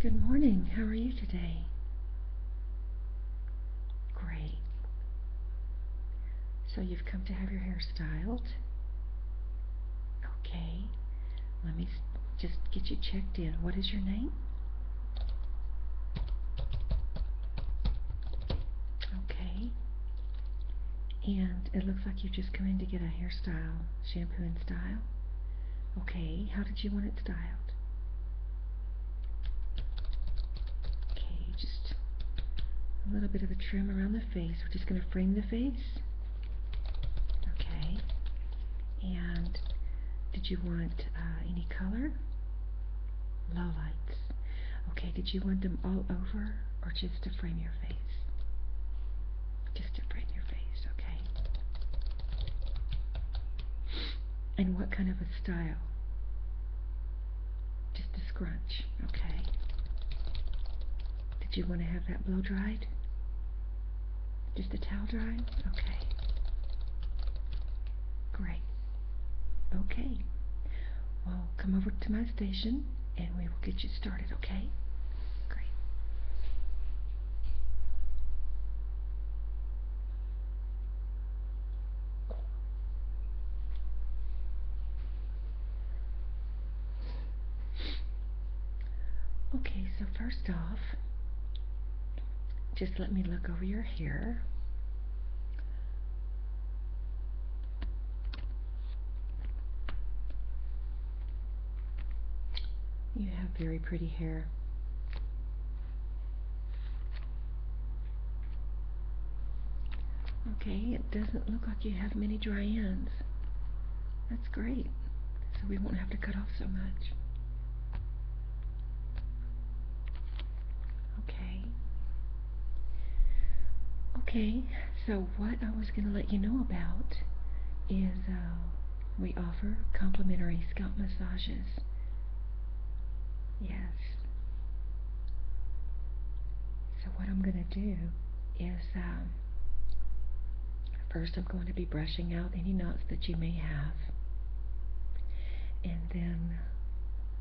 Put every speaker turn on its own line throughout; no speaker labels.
Good morning. How are you today? Great. So you've come to have your hair styled? Okay. Let me just get you checked in. What is your name? Okay. And it looks like you are just coming to get a hairstyle shampoo and style. Okay, how did you want it styled? Okay, just a little bit of a trim around the face. We're just going to frame the face. Okay. And did you want uh, any color? Low lights. Okay, did you want them all over or just to frame your face? just to brighten your face, okay? And what kind of a style? Just a scrunch, okay? Did you want to have that blow dried? Just a towel dried? Okay. Great. Okay. Well, come over to my station and we will get you started, okay? Great. Okay, so first off, just let me look over your hair. You have very pretty hair. Okay, it doesn't look like you have many dry ends. That's great. So we won't have to cut off so much. Okay. Okay, so what I was going to let you know about is uh, we offer complimentary scalp massages. Yes. So what I'm going to do is um, first I'm going to be brushing out any knots that you may have. And then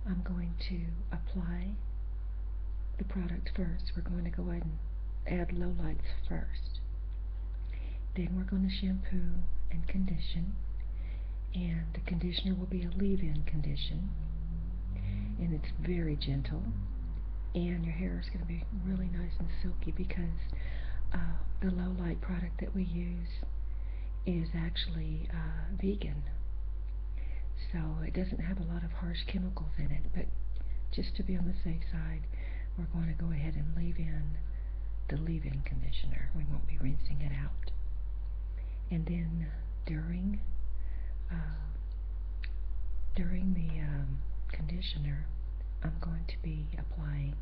I'm going to apply the product first. We're going to go ahead and add low lights first. Then we're going to shampoo and condition. And the conditioner will be a leave-in condition. And it's very gentle. And your hair is going to be really nice and silky because uh, the low light product that we use is actually uh, vegan. So it doesn't have a lot of harsh chemicals in it, but just to be on the safe side, we're going to go ahead and leave in the leave-in conditioner. We won't be rinsing it out. And then during uh, during the um, conditioner, I'm going to be applying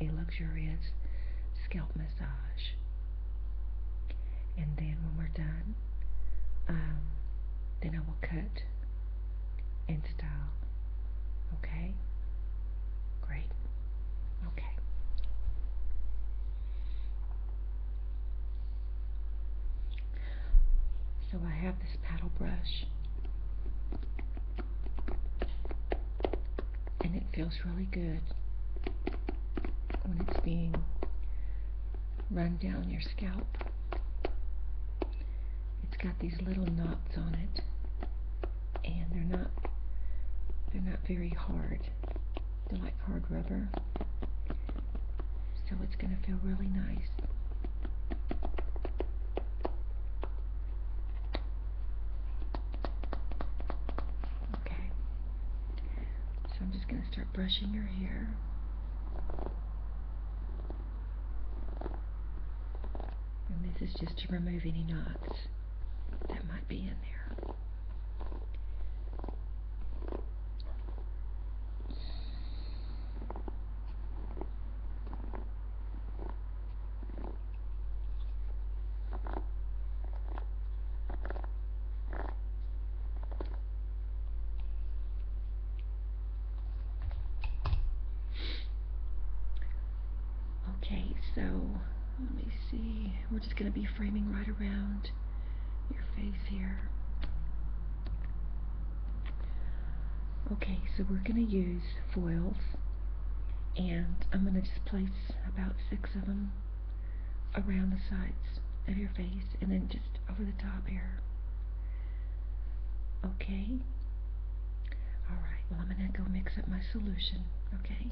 a luxurious scalp massage. And then when we're done, um, then I will cut and style. Okay? Great. Okay. So I have this paddle brush. And it feels really good when it's being run down your scalp it's got these little knots on it and they're not they're not very hard they're like hard rubber so it's going to feel really nice okay so I'm just going to start brushing your hair and this is just to remove any knots that might be in there. Okay, so let me see. We're just going to be framing right around your face here. Okay, so we're going to use foils and I'm going to just place about six of them around the sides of your face and then just over the top here. Okay? Alright, well, I'm going to go mix up my solution, okay?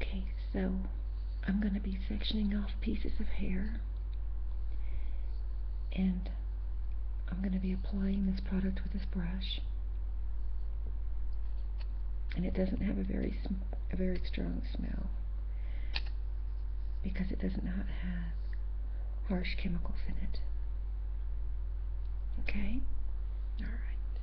Okay, so I'm going to be sectioning off pieces of hair and I'm going to be applying this product with this brush and it doesn't have a very a very strong smell because it does not have harsh chemicals in it okay all right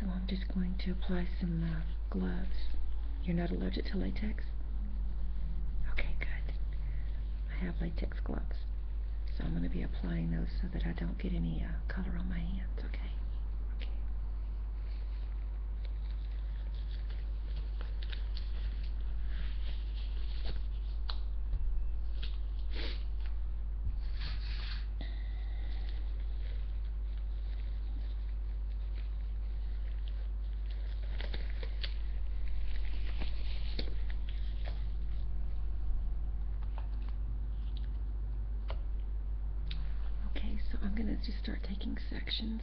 so I'm just going to apply some uh, gloves. You're not allergic to latex? Okay, good. I have latex gloves. So I'm going to be applying those so that I don't get any uh, color on my hands, okay? Okay. Okay, so I'm going to just start taking sections.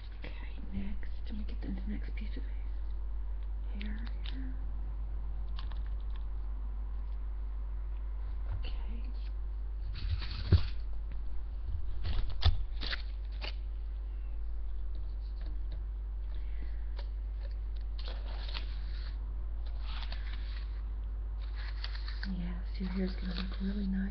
Okay, next, let me get the next piece of hair here. Okay. Yes, your hair's going to look really nice.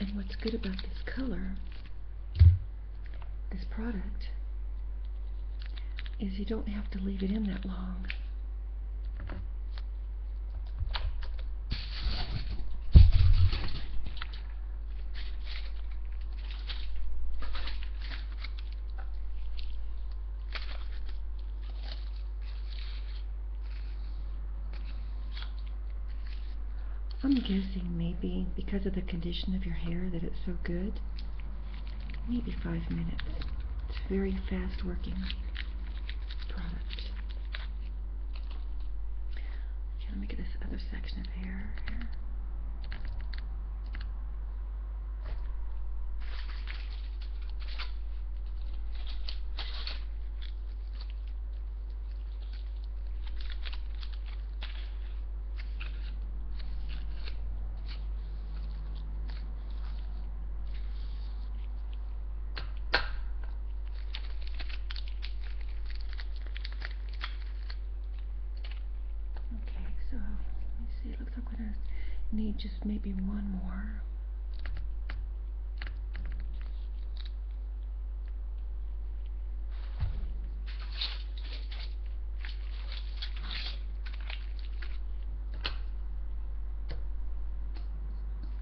And what's good about this color, this product, is you don't have to leave it in that long. I'm guessing maybe because of the condition of your hair that it's so good, maybe five minutes. It's very fast working product. I'm trying to make it this other section of hair here. Okay, so let me see. looks like we're need just maybe one more.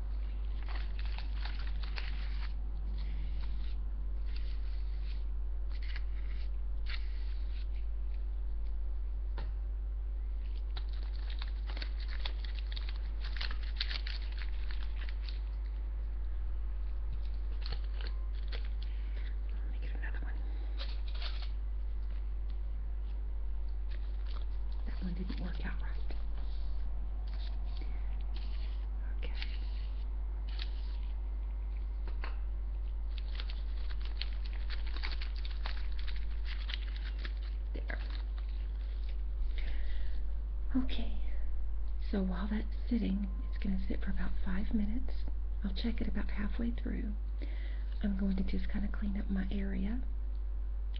Let me get another one. That one didn't work out right. Okay. There. Okay, so while that's sitting, it's going to sit for about five minutes. I'll check it about halfway through. I'm going to just kind of clean up my area.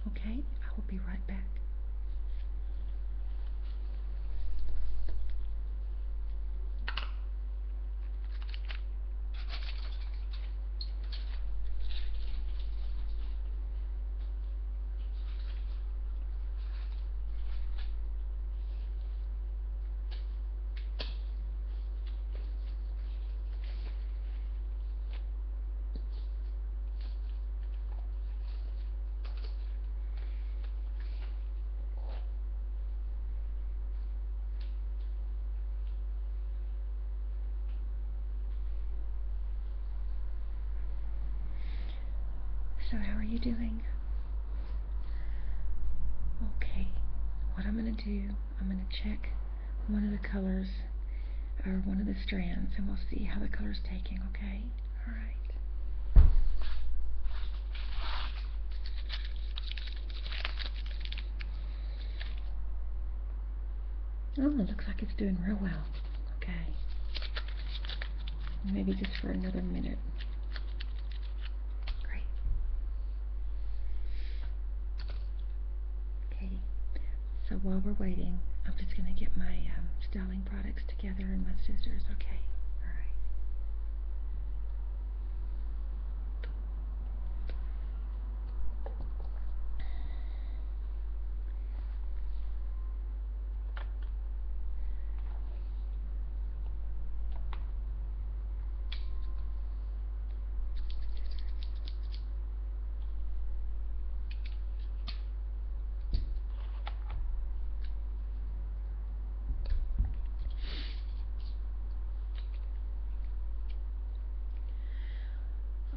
Okay, I will be right back. So, how are you doing? Okay, what I'm going to do, I'm going to check one of the colors or one of the strands and we'll see how the color is taking, okay? All right. Oh, looks like it's doing real well. Okay. Maybe just for another minute. Great. Okay. So while we're waiting, I'm just going to get my um, styling products together and my sisters. Okay, all right.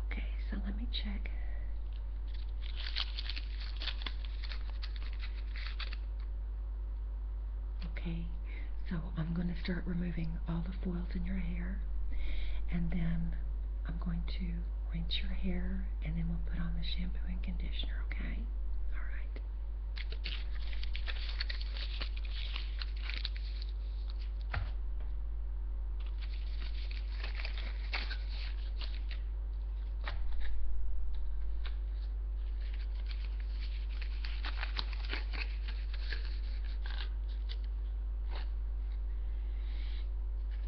Okay, so let me check. Okay, so I'm going to start removing all the foils in your hair and then I'm going to rinse your hair, and then we'll put on the shampoo and conditioner, okay? All right.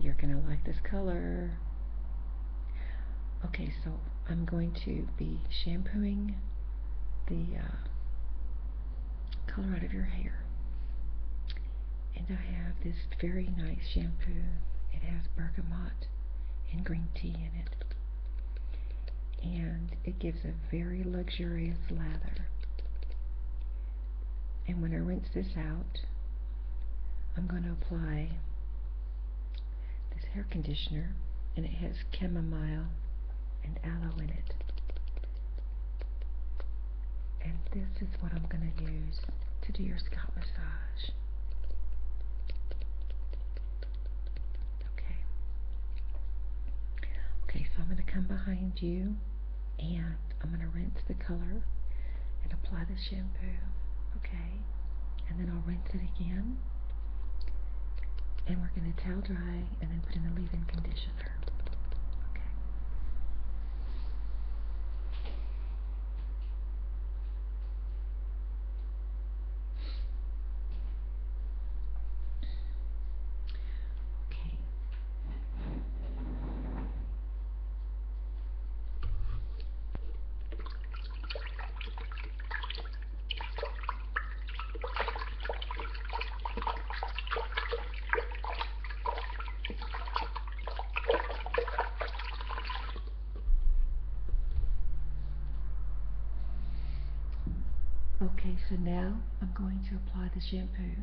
You're going to like this color. Okay, so I'm going to be shampooing the uh, color out of your hair. And I have this very nice shampoo. It has bergamot and green tea in it. And it gives a very luxurious lather. And when I rinse this out, I'm going to apply this hair conditioner and it has chamomile and aloe in it. And this is what I'm going to use to do your scalp massage. Okay. Okay, so I'm going to come behind you and I'm going to rinse the color and apply the shampoo, okay? And then I'll rinse it again, and we're going to towel dry and then put in the leave-in conditioner, okay? Okay, Okay, so now I'm going to apply the shampoo.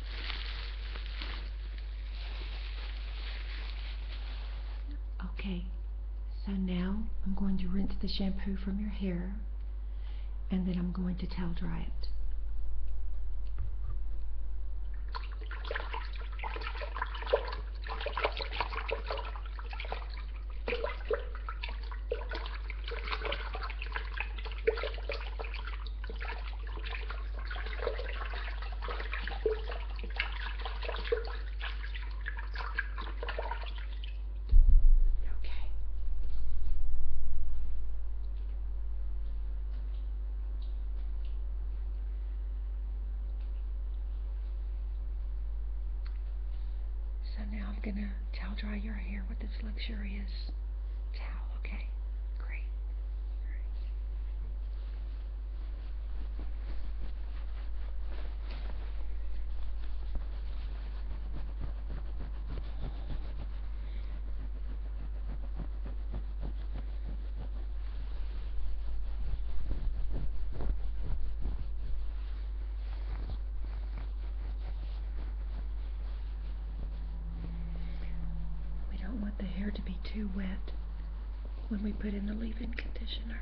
Okay, so now I'm going to rinse the shampoo from your hair and then I'm going to towel dry it. Okay. So now I'm going to towel dry your hair with this luxurious this towel, okay? Great. We don't want the hair to be too wet when we put in the leave-in conditioner.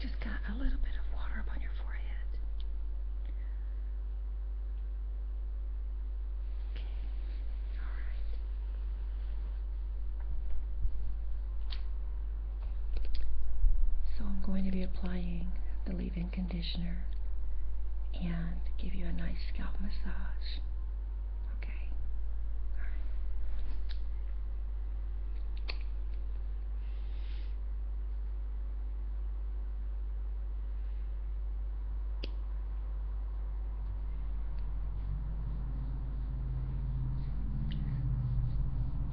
just got a little bit of water up on your forehead. Okay. All right. So I'm going to be applying the leave-in conditioner and give you a nice scalp massage. Okay.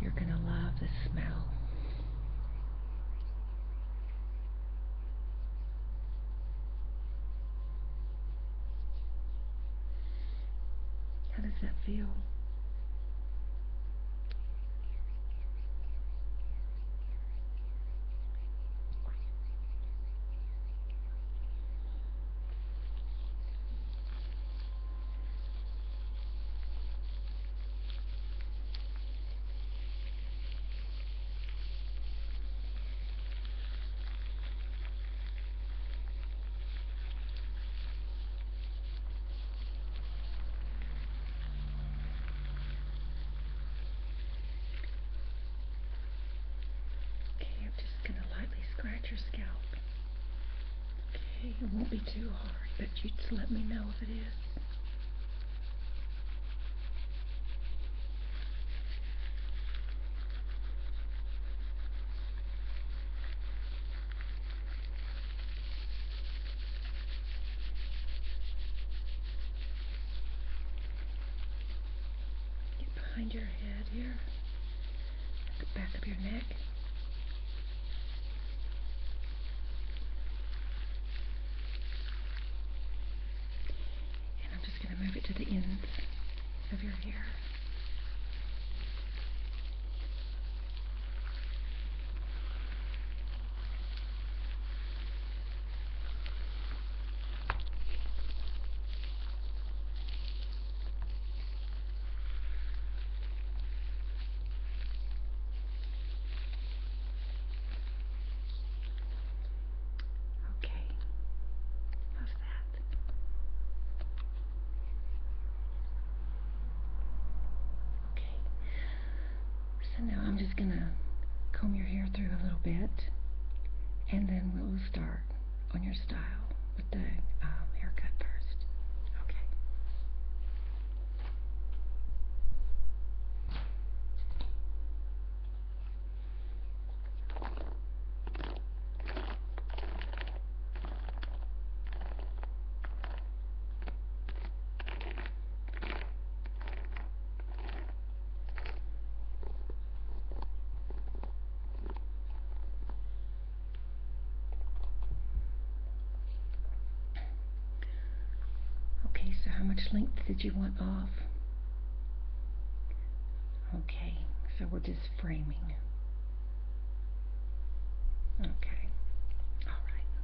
You're going to love the smell. How does that feel? Okay, I'm just going to lightly scratch your scalp. Okay, it won't be too hard, but you just let me know if it is. Get behind your head here the back of your neck. And I'm just going to move it to the ends of your hair. Okay, how's that? Okay, so now I'm just going to comb your hair through a little bit and then we'll start on your style with the um, haircut first. Okay. Okay, so how much length did you want off? Okay, so we're just framing. Okay, all right.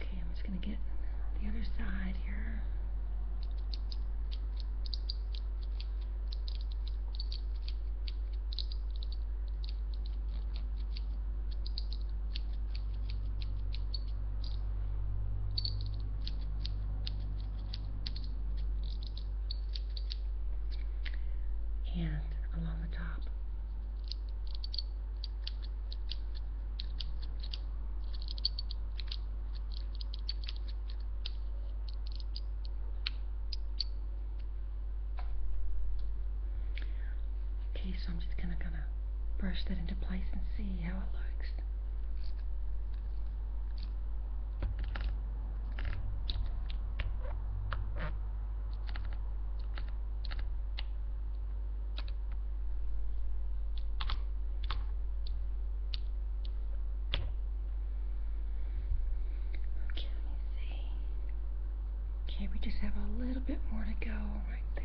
Okay, I'm just going to get the other side here and along the top. Okay, so I'm just gonna gonna brush that into place and see how it looks. Okay, let me see. Okay, we just have a little bit more to go right there.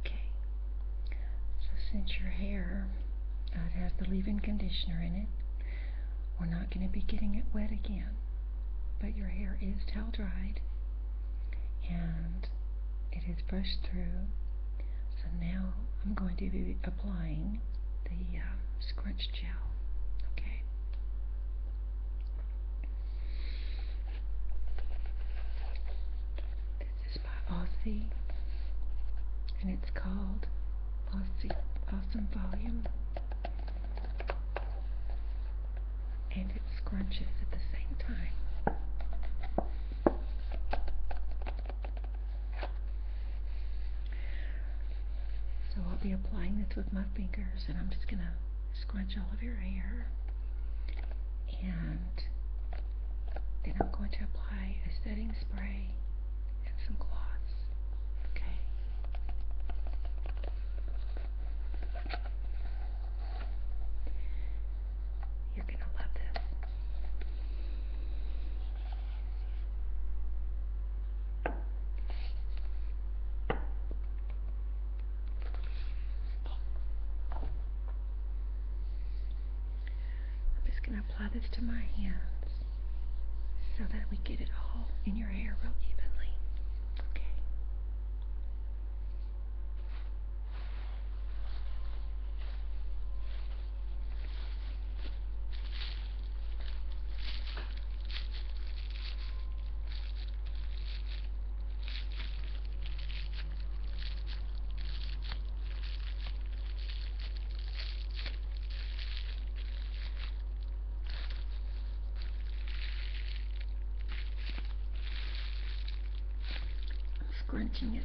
Okay. So since your hair uh, has the leave-in conditioner in it, we're not going to be getting it wet again. But your hair is towel dried and it is brushed through. So now I'm going to be applying the uh, scrunch gel. Okay. This is by Aussie, and it's called Aussie Awesome Volume, and it scrunches at the same time. So I'll be applying this with my fingers, and I'm just going to scrunch all of your hair. And then I'm going to apply a setting spray and some gloss. Okay. You're going to love this. I'm just going to apply this to my hands so that we get it all in your hair real evenly. Okay scrunching it.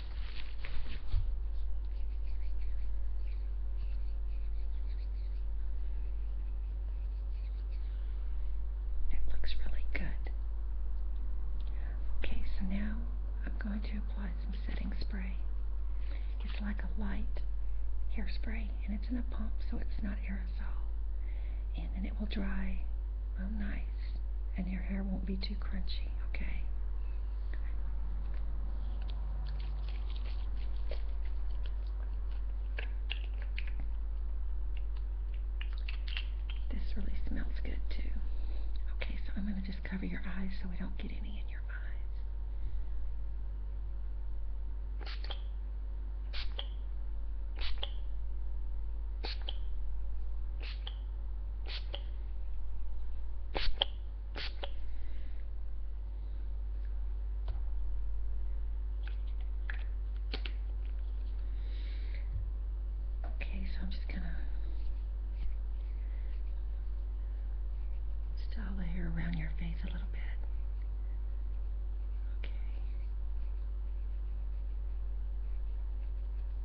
It looks really good. Okay, so now I'm going to apply some setting spray. It's like a light hairspray and it's in a pump so it's not aerosol. And then it will dry real nice. And your hair won't be too crunchy, okay? This really smells good too. Okay, so I'm going to just cover your eyes so we don't get any in your eyes. Okay, so I'm just going to style the hair around your face a little bit. Okay.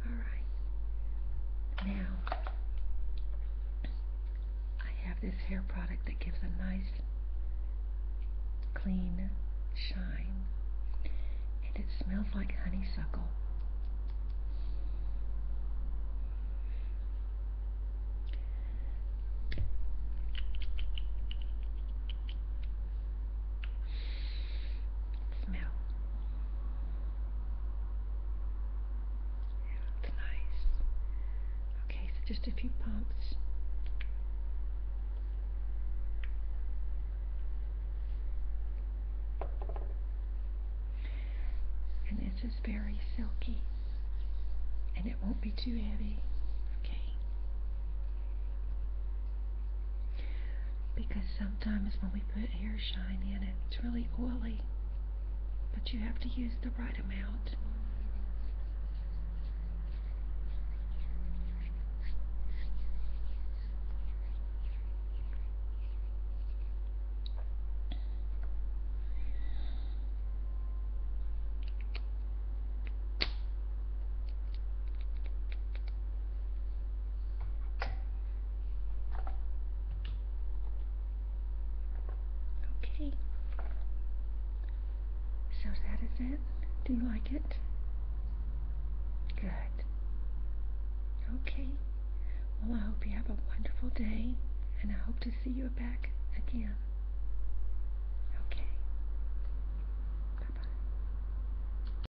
Alright. Now, I have this hair product that gives a nice, clean shine. And it smells like honeysuckle smell. Yeah, it's nice. Okay, so just a few pumps. And this is very silky. And it won't be too heavy. Okay because sometimes when we put hair shine in it, it's really oily, but you have to use the right amount. Okay. So that is it. Do you like it? Good. Okay. Well, I hope you have a wonderful day, and I hope to see you back again. Okay.